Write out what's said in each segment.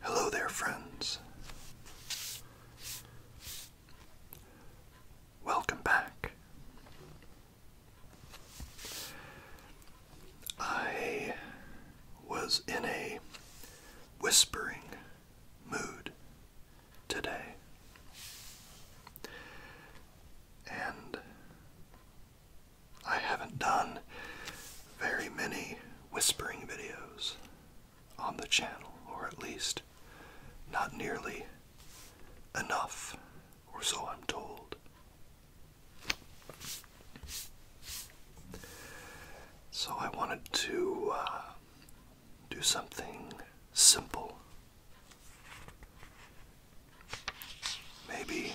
Hello there, friends. Welcome back. I was in a whispering mood today, and I haven't done very many whispering videos on the channel, or at least not nearly enough, or so I'm told. So I wanted to uh, do something simple Maybe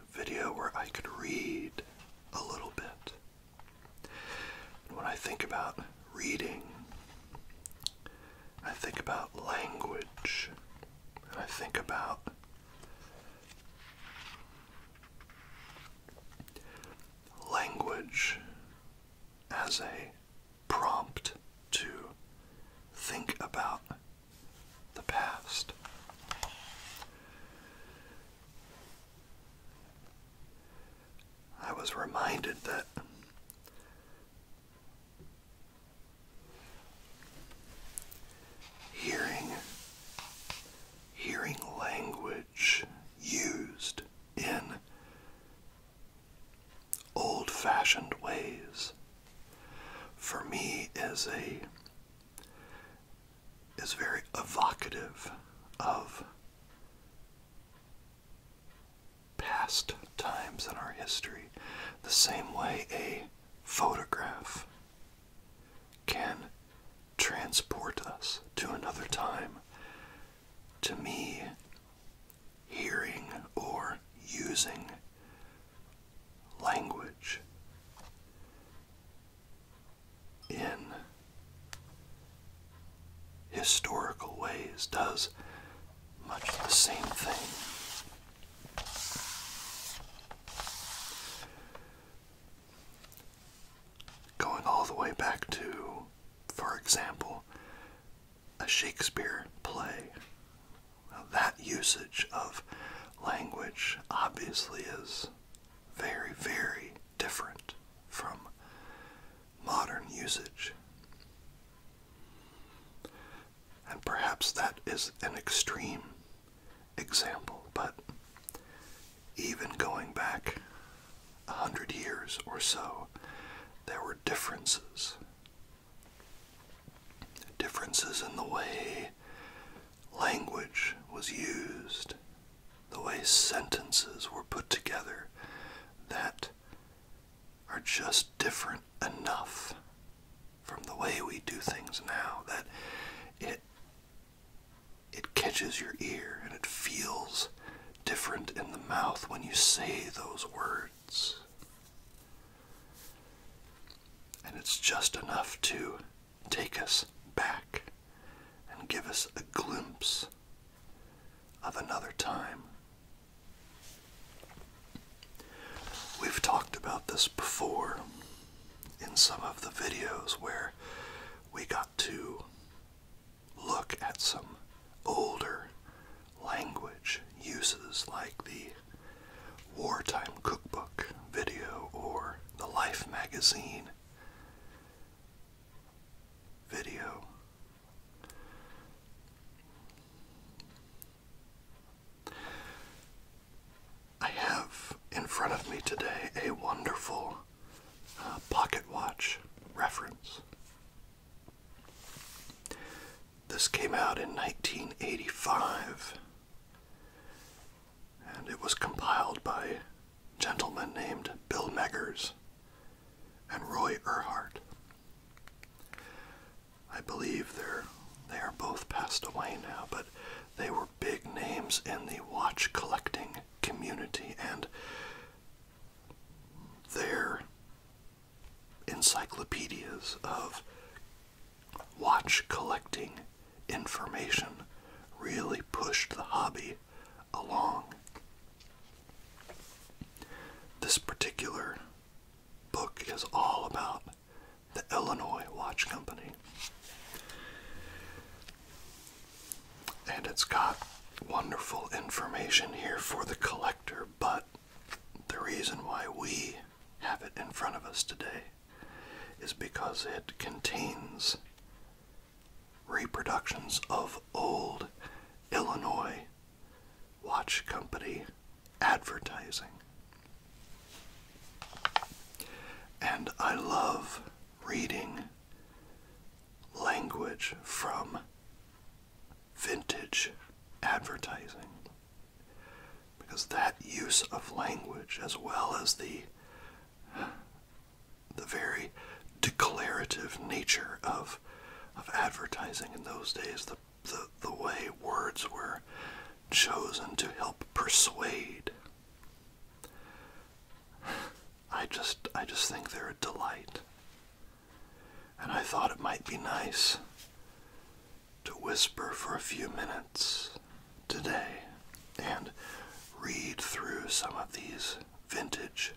a video where I could read a little bit. When I think about reading, I think about language, and I think about language as a prompt to think about the past. I was reminded that hearing hearing language used in old fashioned ways for me is a is very evocative of past times in our history the same way a photograph can transport us to another time to me hearing or using language in historical ways does much the same thing. Going all the way back to, for example, a Shakespeare play. that usage of language obviously is very, very different from modern usage. And perhaps that is an extreme example, but even going back a hundred years or so, there were differences differences in the way language was used, the way sentences were put together that are just different enough from the way we do things now that it it catches your ear and it feels different in the mouth when you say those words and it's just enough to take us back and give us a glimpse of another time. We've talked about this before in some of the videos where we got to look at some older language uses, like the wartime cookbook video or the Life magazine video. I have in front of me today a wonderful uh, pocket watch reference this came out in 1985 and it was compiled by gentlemen named Bill Meggers and Roy Earhart. I believe they're they are both passed away now, but they were big names in the watch collecting community and their encyclopedias of watch collecting information really pushed the hobby along. This particular book is all about the Illinois Watch Company. And it's got wonderful information here for the collector, but the reason why we have it in front of us today is because it contains reproductions of old Illinois watch company advertising. And I love reading language from vintage advertising. Because that use of language, as well as the, the very declarative nature of, of advertising in those days, the, the, the way words were chosen to help persuade. I just I just think they're a delight and I thought it might be nice to whisper for a few minutes today and read through some of these vintage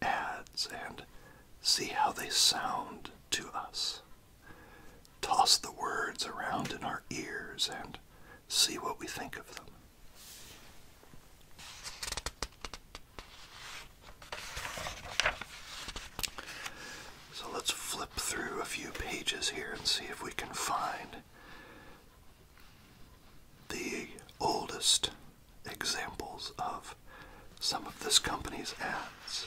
ads and see how they sound to us. Toss the words around in our ears and see what we think of them. So let's flip through a few pages here and see if we can find the oldest examples of some of this company's ads.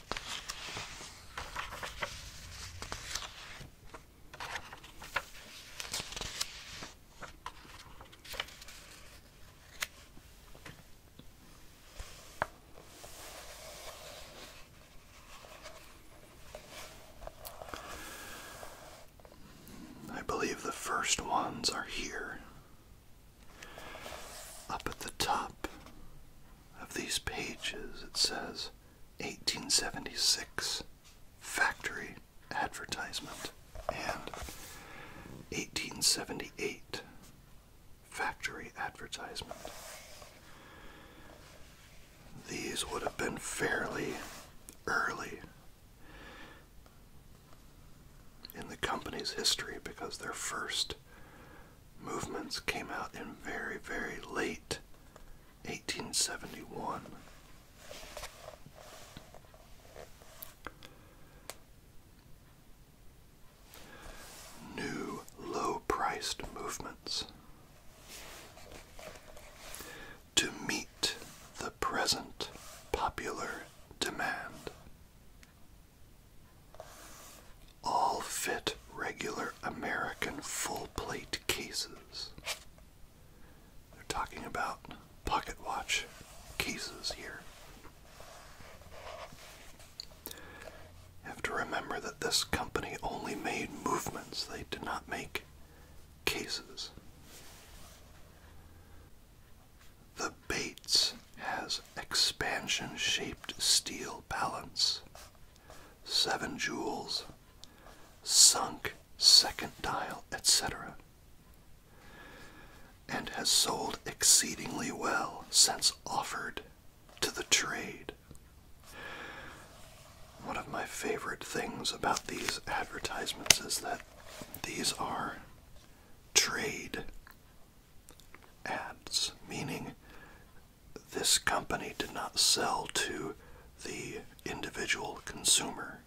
I believe the first ones are here up at the top of these pages, it says 1876 factory advertisement and 1878 factory advertisement. These would have been fairly early in the company's history because they're first movements came out in very, very late 1871. New low priced movements. To meet the present popular demand. All fit regular American full plate cases. They're talking about pocket watch cases here. have to remember that this company only made movements, they did not make cases. The Bates has expansion shaped steel balance, 7 joules, sunk second dial, etc. And has sold exceedingly well since offered to the trade. One of my favorite things about these advertisements is that these are trade ads, meaning this company did not sell to the individual consumer.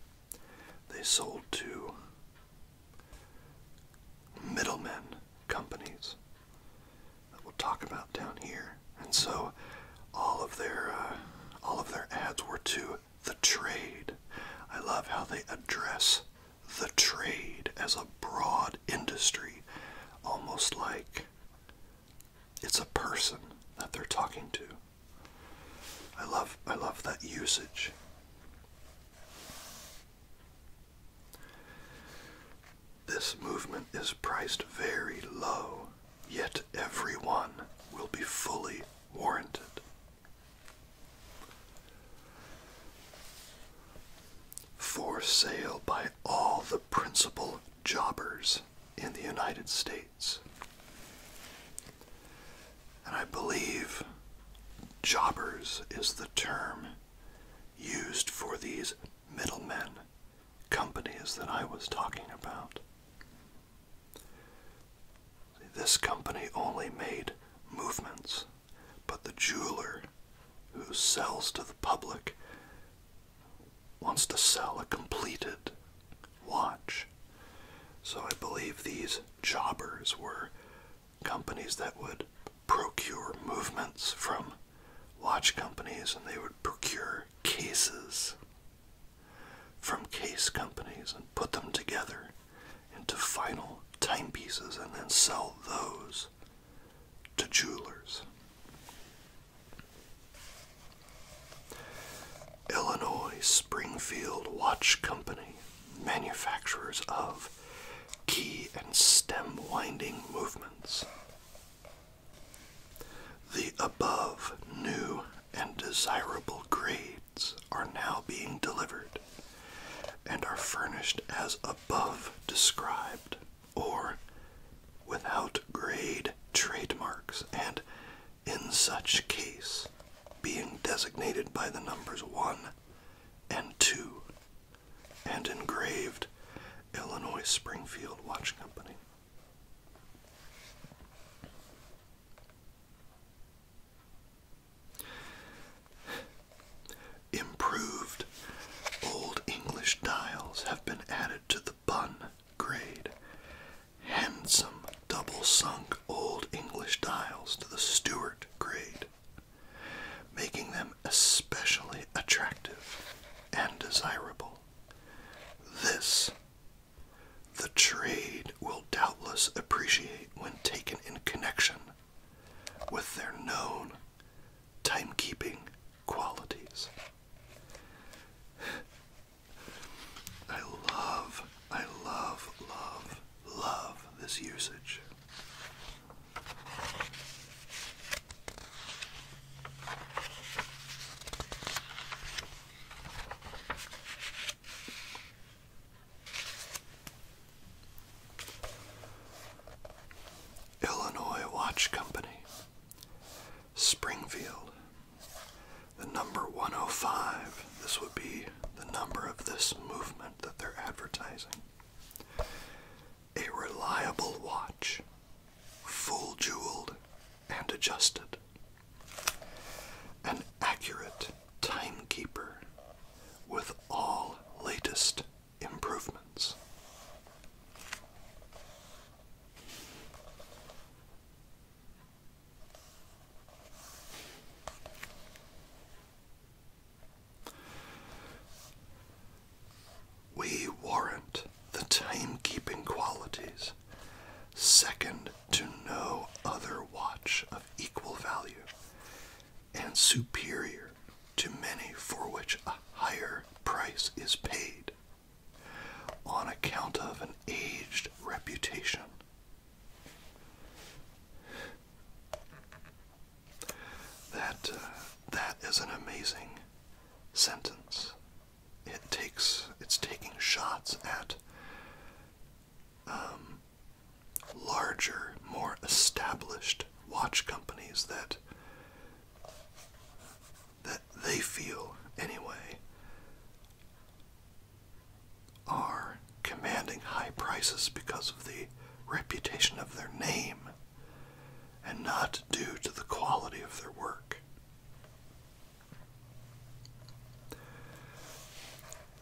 They sold to middlemen companies that we'll talk about down here. And so all of their uh, all of their ads were to the trade. I love how they address the trade as a broad industry, almost like it's a person that they're talking to. I love I love that usage. This movement is priced very low, yet everyone will be fully warranted. For sale by all the principal jobbers in the United States. And I believe jobbers is the term used for these middlemen companies that I was talking about. This company only made movements but the jeweler who sells to the public wants to sell a completed watch. So I believe these jobbers were companies that would procure movements from watch companies and they would procure cases from case companies and put them together into final timepieces and then sell those to jewelers. Illinois Springfield Watch Company, manufacturers of key and stem winding movements. The above new and desirable grades are now being delivered and are furnished as above described, or without grade trademarks, and in such case being designated by the numbers 1 and 2, and engraved Illinois Springfield Watch Company. Improved Old English dials have been added to the bun grade. Handsome double sunk Old English dials to the Stuart grade, making them especially attractive and desirable. This the trade will doubtless appreciate when taken in connection with their known timekeeping qualities. I love, I love, love, love this usage. Illinois Watch Company, Springfield, the number 105. This would be the number of this movement that they're advertising. A reliable watch, full jeweled and adjusted. An accurate timekeeper with all latest improvements. We warrant the timekeeping qualities second to no other watch of equal value and superior to many for which a higher price is paid on account of an aged reputation. That uh, that is an amazing sentence. It takes it's taking shots at um, larger, more established watch companies that that they feel anyway are commanding high prices because of the reputation of their name and not due to the quality of their work.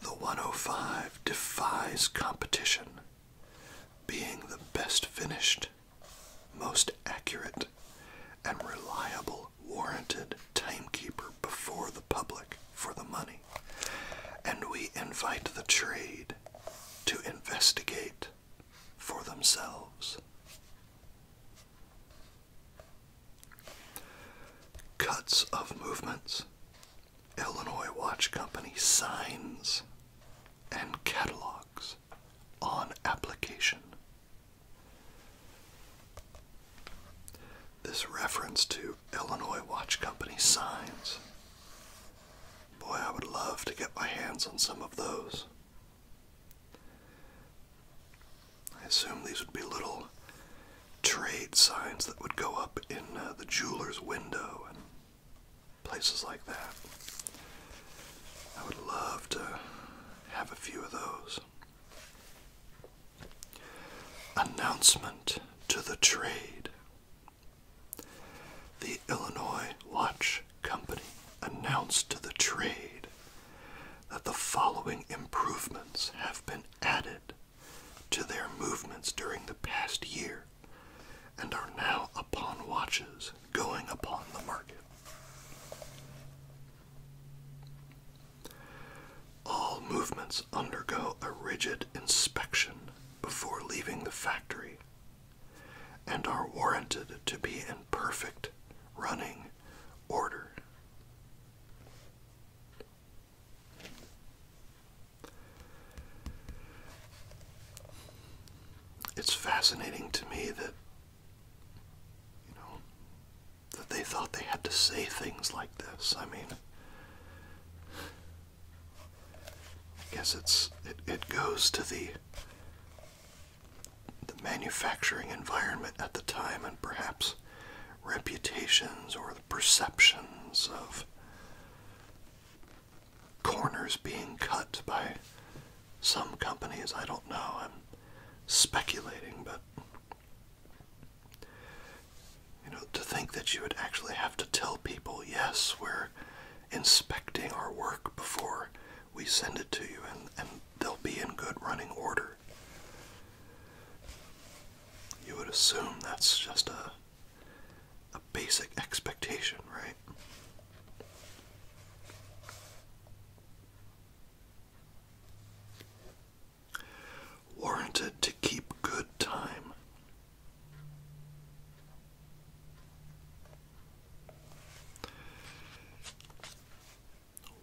The 105 defies competition being the best finished, most accurate, and reliable warranted timekeeper before the public for the money. And we invite the trade to investigate for themselves. Cuts of movements Illinois Watch Company signs and catalogs on application. This reference to Illinois Watch Company signs. Boy, I would love to get my hands on some of those. I assume these would be little trade signs that would go up in uh, the jeweler's window and places like that. I would love to have a few of those. Announcement to the trade. The Illinois Watch Company announced to the trade that the following improvements have been added to their movements during the past year and are now upon watches going upon the market. All movements undergo a rigid inspection before leaving the factory and are warranted to be in perfect running order. It's fascinating to me that you know that they thought they had to say things like this. I mean I guess it's it, it goes to the the manufacturing environment at the time and perhaps reputations or the perceptions of corners being cut by some companies. I don't know. I'm speculating, but you know, to think that you would actually have to tell people, yes, we're inspecting our work before we send it to you, and, and they'll be in good running order. You would assume that's just a a basic expectation, right? Warranted to keep good time.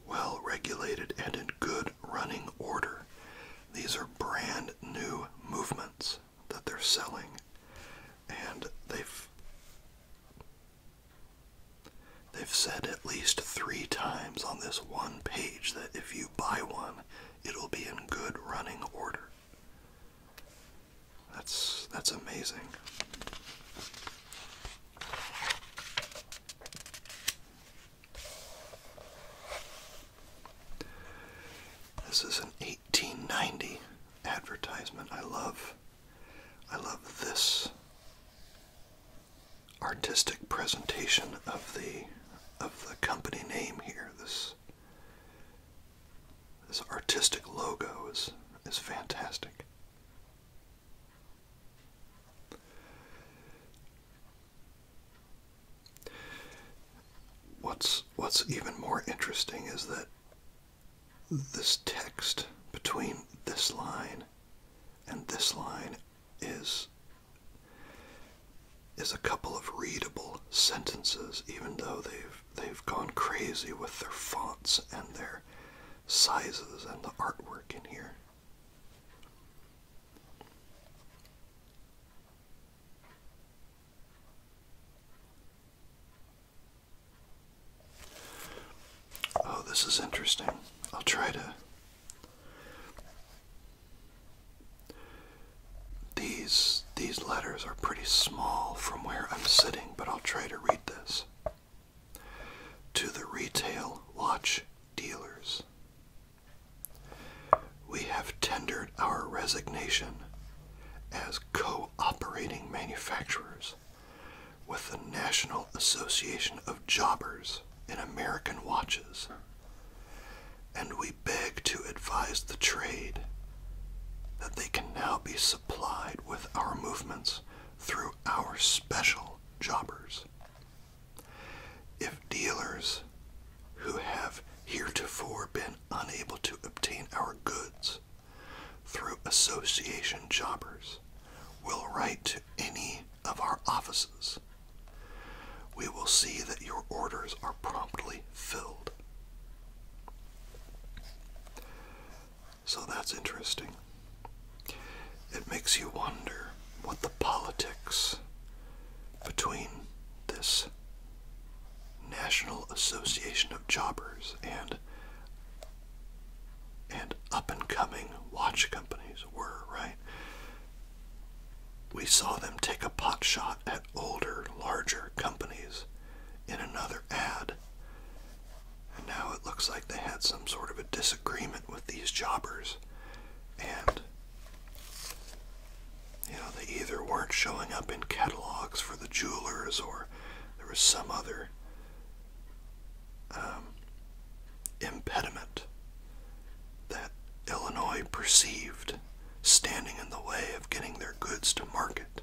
Well regulated and in good running order. These are brand new movements that they're selling, and they've they've said at least three times on this one page that if you buy one, it'll be in good running order. That's that's amazing. This is an 1890 advertisement. I love I love this artistic presentation of the of the company name here. This this artistic logo is is fantastic. What's what's even more interesting is that this text between this line and this line is is a couple of readable sentences, even though they've they've gone crazy with their fonts and their sizes and the artwork in here. Oh, this is interesting. I'll try to. These these letters are pretty small from where I'm sitting, but I'll try to read this. To the retail watch dealers. We have tendered our resignation as cooperating manufacturers with the National Association of Jobbers in American Watches, and we beg to advise the trade that they can now be supplied with our movements through our special jobbers. If dealers who have heretofore been unable to obtain our goods through association jobbers will write to any of our offices, we will see that your orders are promptly filled. So that's interesting. It makes you wonder what the politics between this National Association of Jobbers and and up-and-coming watch companies were, right? We saw them take a pot shot at older, larger companies in another ad. And now it looks like they had some sort of a disagreement with these jobbers. And you know, they either weren't showing up in catalogs for the jewelers or there was some other um, impediment that Illinois perceived standing in the way of getting their goods to market.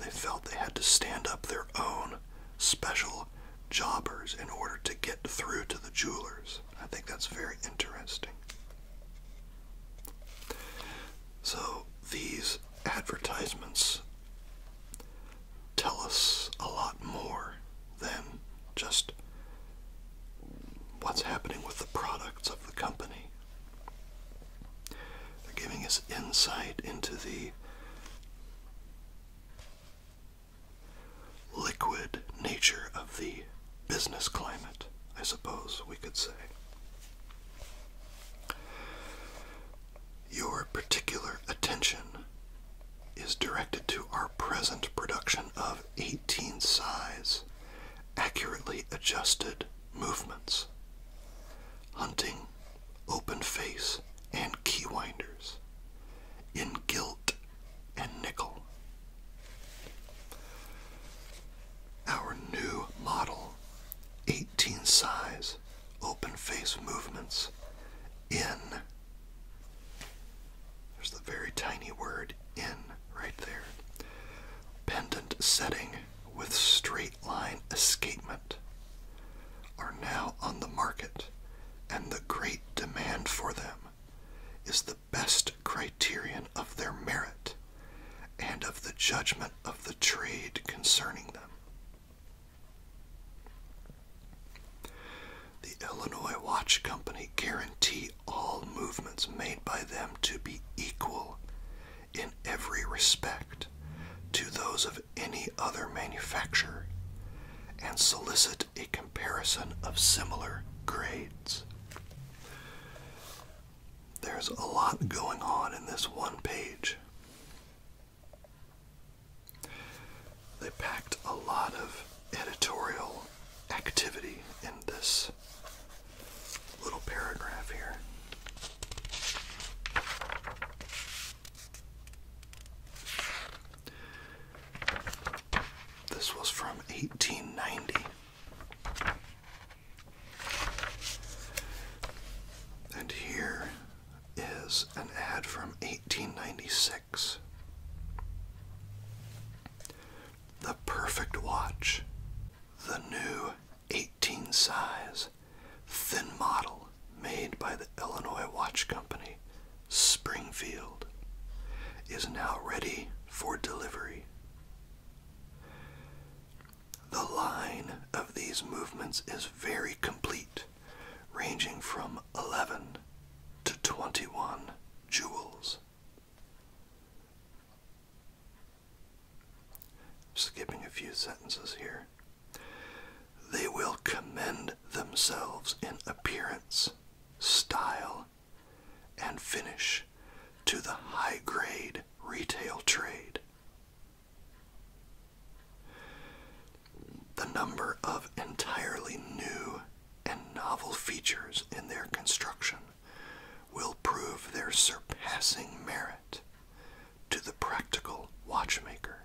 They felt they had to stand up their own special jobbers in order to get through to the jewelers. I think that's very interesting. So, these advertisements tell us a lot more than just what's happening with the products of the company. They're giving us insight into the liquid nature of the business climate, I suppose we could say. Your particular attention is directed to our present production of 18 size, accurately adjusted movements, hunting, open face, and keywinders, in gilt and nickel. Our new model, 18 size, open face movements in. There's the very tiny word in right there. Pendant setting with straight line escapement are now on the market, and the great demand for them is the best criterion of their merit and of the judgment of the trade concerning them. The Illinois Watch Company guarantee all movements made by them to be equal in every respect to those of any other manufacturer, and solicit a comparison of similar grades. There's a lot going on in this one page. They packed a lot of editorial activity in this little paragraph here. This was from 1890. And here is an ad from 1896. The perfect watch. The new 18 size, thin model made by the Illinois Watch Company Springfield is now ready for delivery. The line of these movements is very complete, ranging from 11 to 21 jewels. Skipping a few sentences here. They will commend themselves in appearance, style, and finish to the high grade retail trade. The number of entirely new and novel features in their construction will prove their surpassing merit to the practical watchmaker.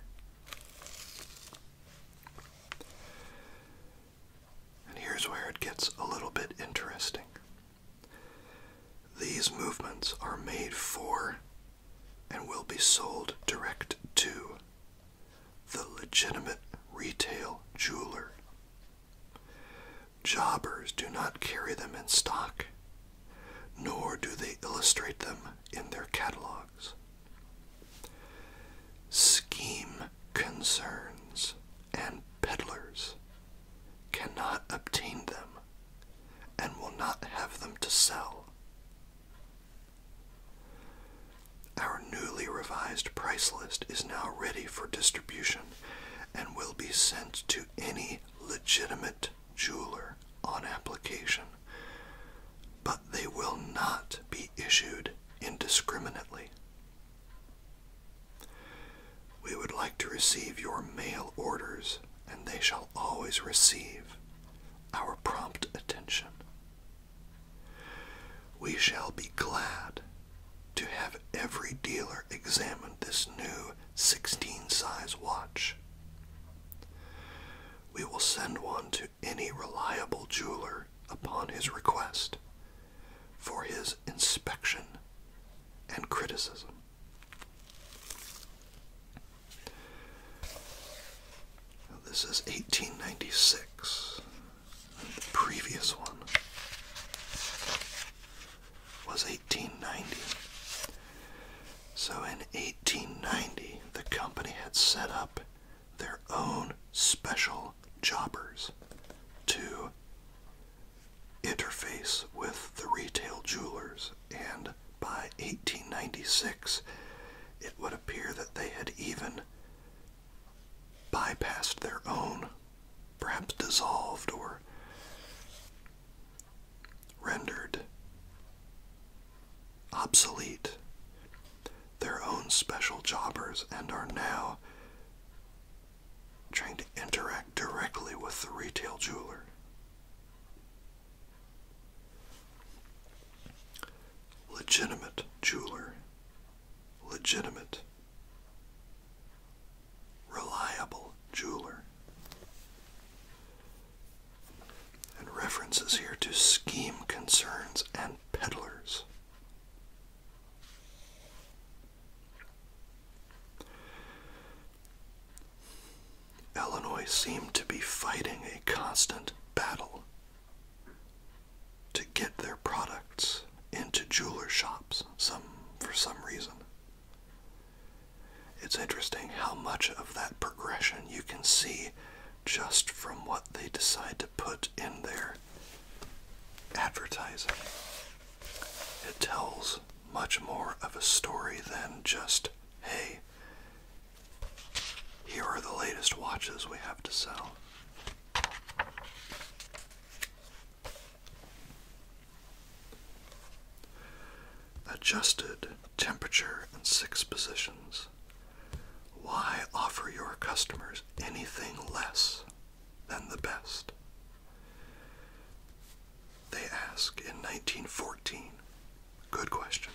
And here's where it gets a little bit interesting. These movements are made for and will be sold direct to the legitimate retail jeweler. Jobbers do not carry them in stock, nor do they illustrate them in their catalogs scheme concerns and peddlers cannot obtain them and will not have them to sell. Our newly revised price list is now ready for distribution and will be sent to any legitimate jeweler on application, but they will not be issued indiscriminately. We would like to receive your mail orders, and they shall always receive our prompt attention. We shall be glad to have every dealer examine this new 16 size watch. We will send one to any reliable jeweler upon his request for his inspection and criticism. this is 1896. The previous one was 1890. So in 1890, the company had set up their own special jobbers to interface with the retail jewelers, and by 1896, it would appear that they had even bypassed their own, perhaps dissolved or rendered obsolete their own special jobbers and are now trying to interact directly with the retail jeweler. Legitimate jeweler. Legitimate. Reliable jeweler. And references here to scheme concerns and peddlers. Illinois seemed to be fighting a constant battle to get their products into jeweler shops some for some reason. It's interesting how much of that progression you can see just from what they decide to put in there advertising. It tells much more of a story than just, hey, here are the latest watches we have to sell. Adjusted temperature in six positions. Why offer your customers anything less than the best? They ask in 1914. Good question.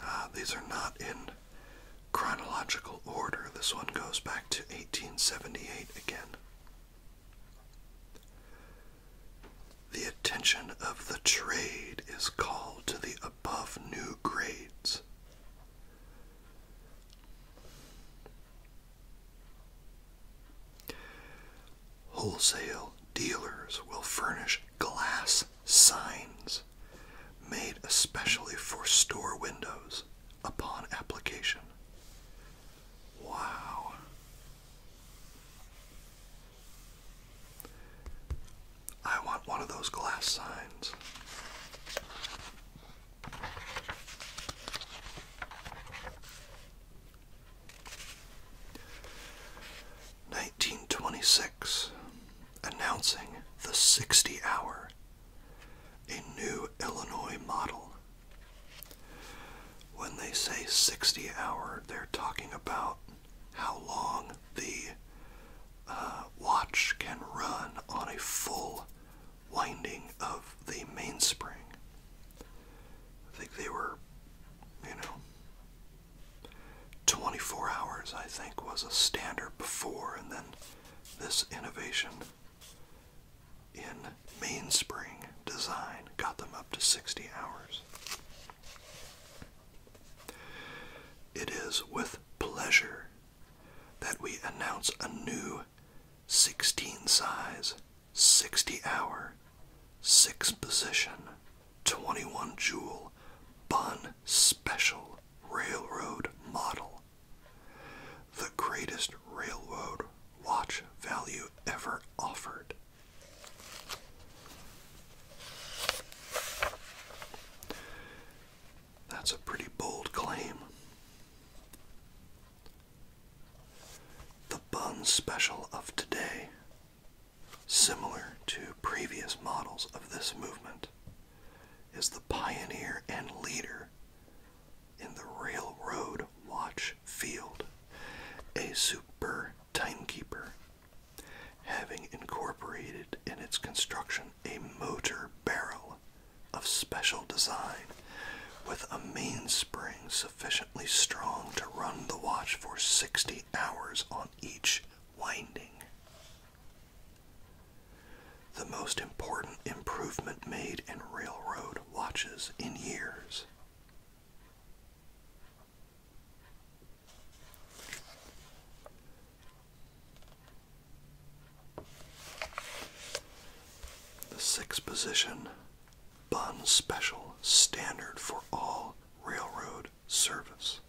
Ah, these are not in chronological order. This one goes back to 1878 again. The attention of the trade is called to the above new grades. Wholesale dealers will furnish glass signs made especially for store windows upon application. Wow. I want one of those glass signs. 1926, announcing the 60 hour, a new Illinois model. When they say 60 hour, they're talking about how long the uh, watch can run on a full winding of the mainspring. I think they were, you know, 24 hours, I think, was a standard before, and then this innovation in mainspring design got them up to 60 hours. It is with pleasure that we announce a new 16 size 60 hour, 6 position, 21 joule Bun Special Railroad Model. The greatest railroad watch value ever offered. That's a pretty bold claim. The bun special of today Similar to previous models of this movement is the pioneer and leader in the railroad watch field, a super timekeeper, having incorporated in its construction a motor barrel of special design with a mainspring sufficiently strong to run the watch for 60 hours on each winding. The most important improvement made in railroad watches in years. The sixth position Bun Special standard for all railroad service.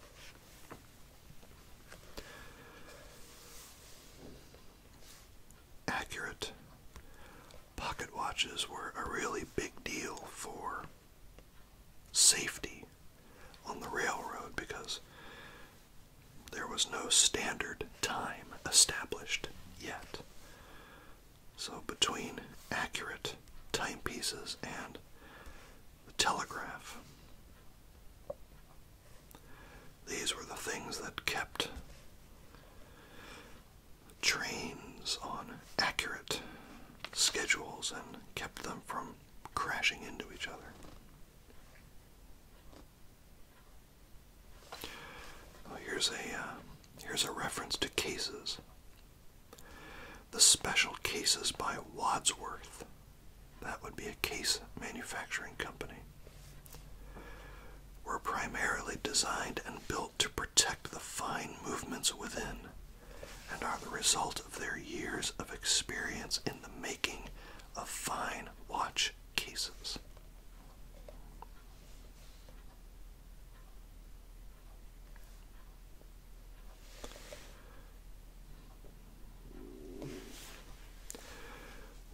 Accurate. Pocket watches were a really big deal for safety on the railroad because there was no standard time established yet. So between accurate timepieces and the telegraph, these were the things that kept trains on accurate schedules and kept them from crashing into each other. here's a uh, here's a reference to cases. The Special Cases by Wadsworth. That would be a case manufacturing company. Were primarily designed and built to protect the fine movements within, and are the result of their years of experience in the making of fine watch cases.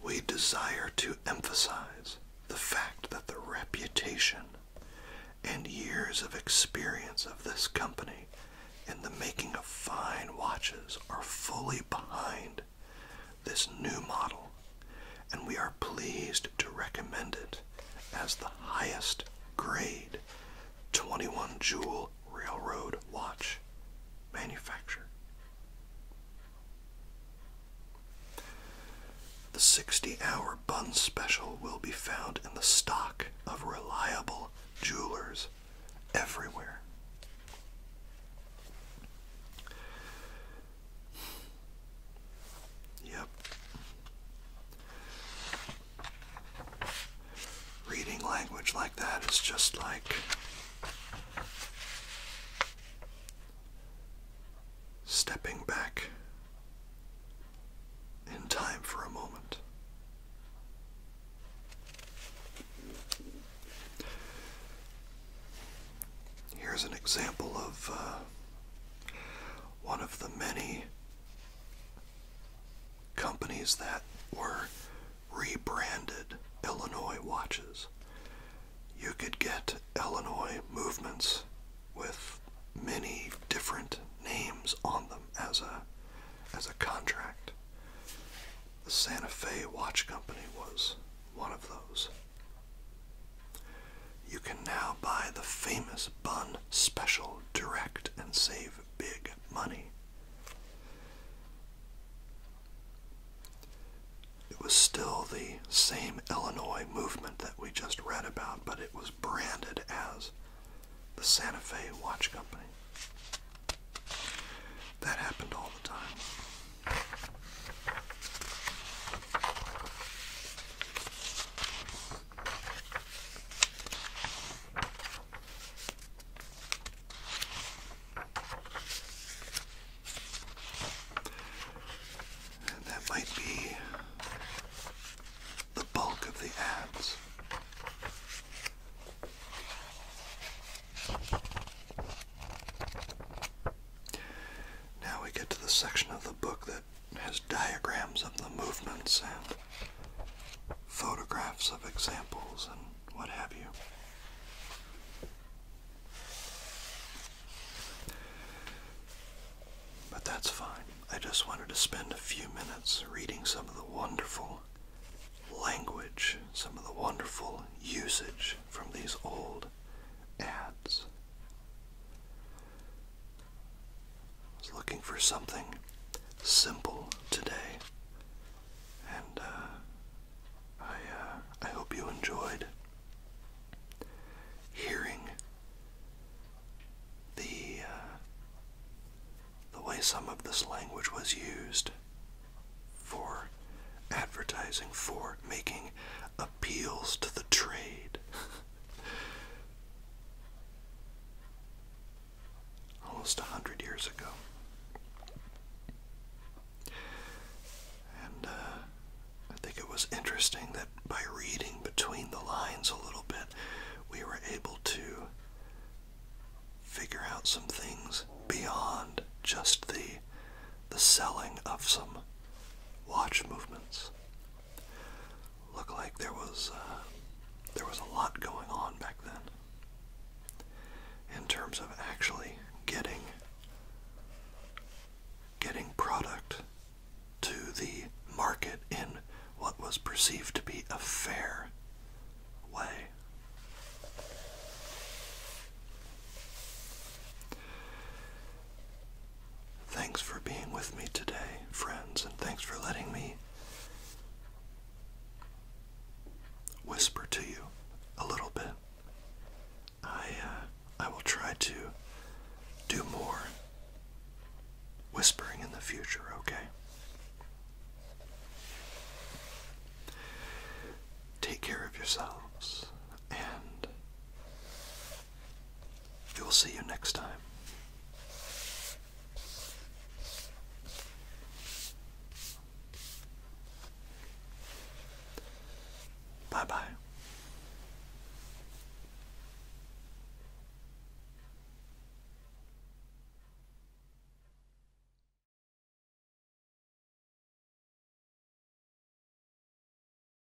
We desire to emphasize the fact that the reputation and years of experience of this company in the making of fine watches are fully behind this new model, and we are pleased to recommend it as the highest grade 21 jewel railroad watch manufacturer. The 60-hour bun special will be found in the stock of reliable jewelers everywhere. Yep. Reading language like that is just like stepping back in time for a moment. Here's an example of uh, one of the many companies that were rebranded Illinois watches. You could get Illinois movements with many different names on them as a as a contract. The Santa Fe Watch Company was one of those. You can now buy the famous Bun Special Direct and save big money. It was still the same Illinois movement that we just read about, but it was branded as the Santa Fe Watch Company. That happened all the time that might be the bulk of the ads. Now we get to the section of the book that has diagrams of the movements and photographs of examples and what have you. But that's fine. I just wanted to spend a few minutes reading some of the wonderful language, some of the wonderful usage from these old ads. I was looking for something simple today, and uh, I uh, I hope you enjoyed hearing the uh, the way some of this language was used for advertising, for making appeals to the trade. almost a hundred years ago. And uh, I think it was interesting that by reading between the lines a little bit, we were able to figure out some things beyond just the the selling of some watch movements. Looked like there was uh, there was a lot going on back then in terms of actually getting getting product to the market in what was perceived to be a fair way. Thanks for being with me today, friends, and thanks for letting me whisper to you a little bit. I uh, I will try to do more whispering in the future, okay? Take care of yourselves and we will see you next time. Bye bye.